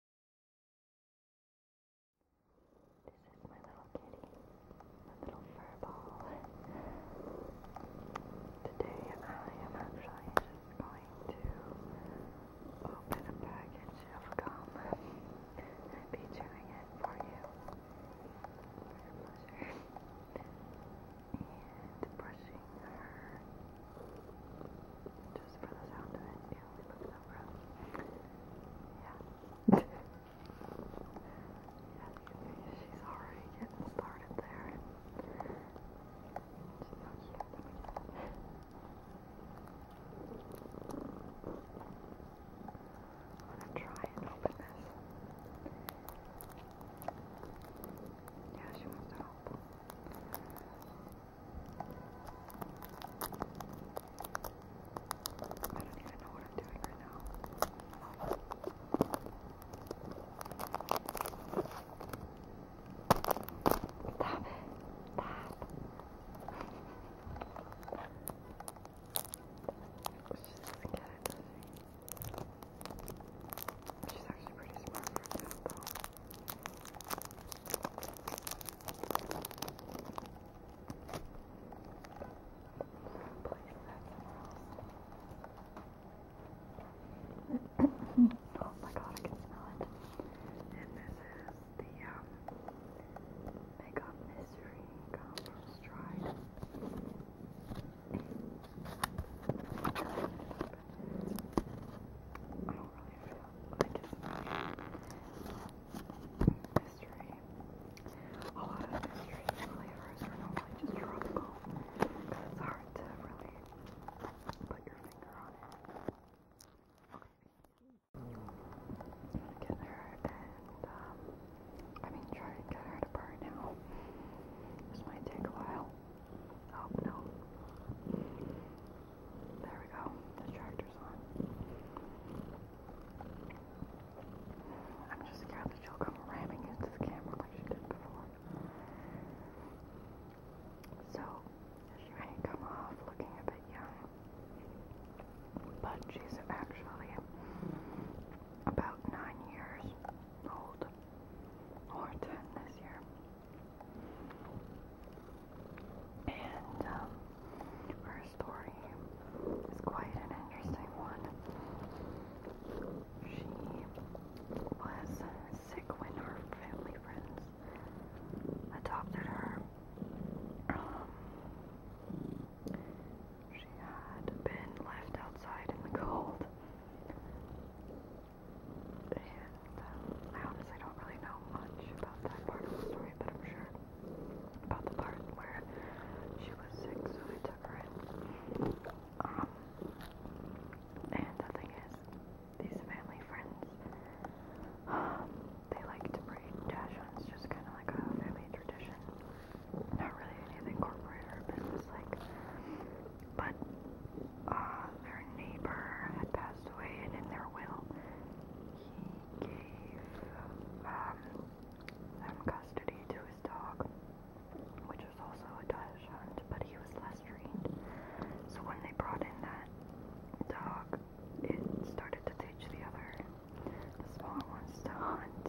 This is my little kitty, my little fur ball. Today I am actually just going to open a package of gum and be chewing it for you. For pleasure. And brushing her just for the sound of it, yeah, we looked over. Yeah. yeah, she's already getting started there. I'm gonna try and open this. Yeah, she wants to help. I don't even know what I'm doing right now. Stop it. Stop. She doesn't get it, She's actually pretty smart oh my god, I can smell it. And this is the um, Makeup Mystery Compost Dried. I don't really mystery. A lot of mystery flavors are normally just tropical because it's hard to really put your finger on it. Get her and, um, I mean, try to get her to burn now. This might take a while. Oh no. There we go. The charger's on. I'm just scared that she'll come ramming into the camera like she did before. So, she may come off looking a bit young, but she's actually about nine years old, or ten this year. And um, her story is quite an interesting one. She was sick when her family friends adopted her. Um, she had been left outside in the cold and I honestly don't really know much about that part of the story, but I'm sure about the part where she was sick, so I took her in. Um, and the thing is, these family friends, um, they like to breed Dachshunds, just kind of like a family tradition. Not really anything corporate or business like but uh, their neighbor had passed away, and in their will, he gave um, them custody to his dog, which was also a dachshund, but he was less trained. So when they brought in that dog, it started to teach the other, the ones, to hunt.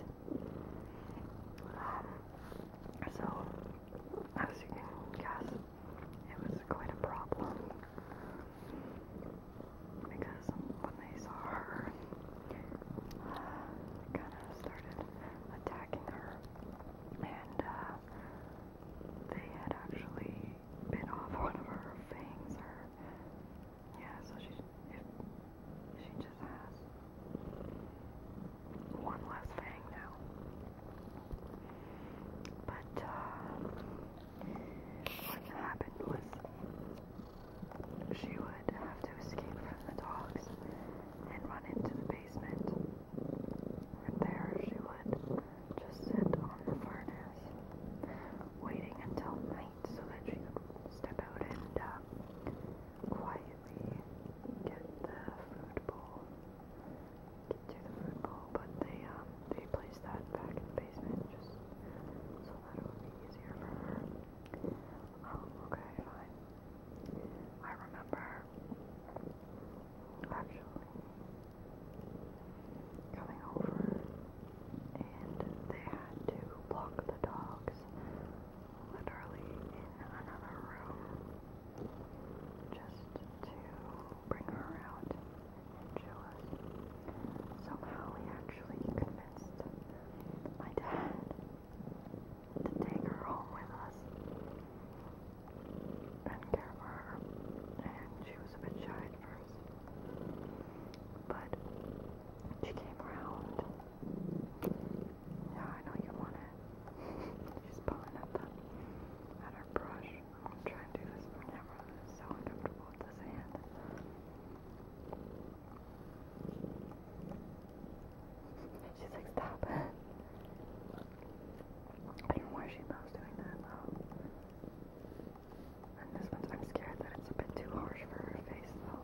Um, so as you can guess, it was quite a problem because when they saw her, kind of started attacking her, and uh, they had actually bit off one of her fangs. Her, yeah, so she, she just has one less thing now. But uh, what happened was she would have to escape from the dogs and run into the basement. And there she would just sit on the furnace, waiting until night so that she could step out and uh, quietly get the food bowl, get to the food bowl, but they um they placed that back in the basement just so that it would be easier for her. Um, okay, fine. I remember actually coming over and they had to block the dogs literally in another room just to bring her around and show us. Somehow he actually convinced my dad to take her home with us and care for her. And she was a bit shy at first. But she came around yeah, I know you want it. She's pulling at the at her brush. I'm gonna do this for camera. It's so uncomfortable with this hand. She's like, stop I don't know why she's loves doing that though. And this one's I'm scared that it's a bit too harsh for her face though.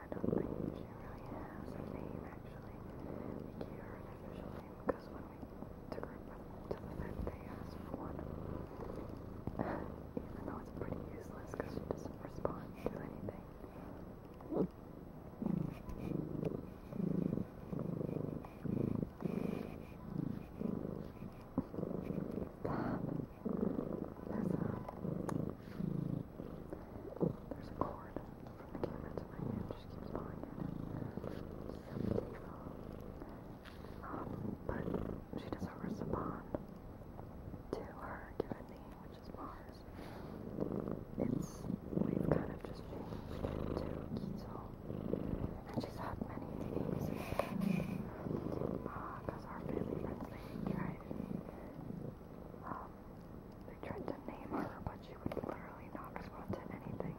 I don't think she really has a name actually. We gave her an official name because when we took her to the vet, they asked for one. Even though it's pretty useless because she doesn't respond to anything. That's um, there's a cord from the camera to my hand, just keeps pulling it. Um, but she does offer us to her given name, which is Mars. It's, we've kind of just changed to Kizo. And she's had many names because uh, our family friends, they tried uh, um, they tried to name her, but she would literally not respond to anything.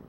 Now,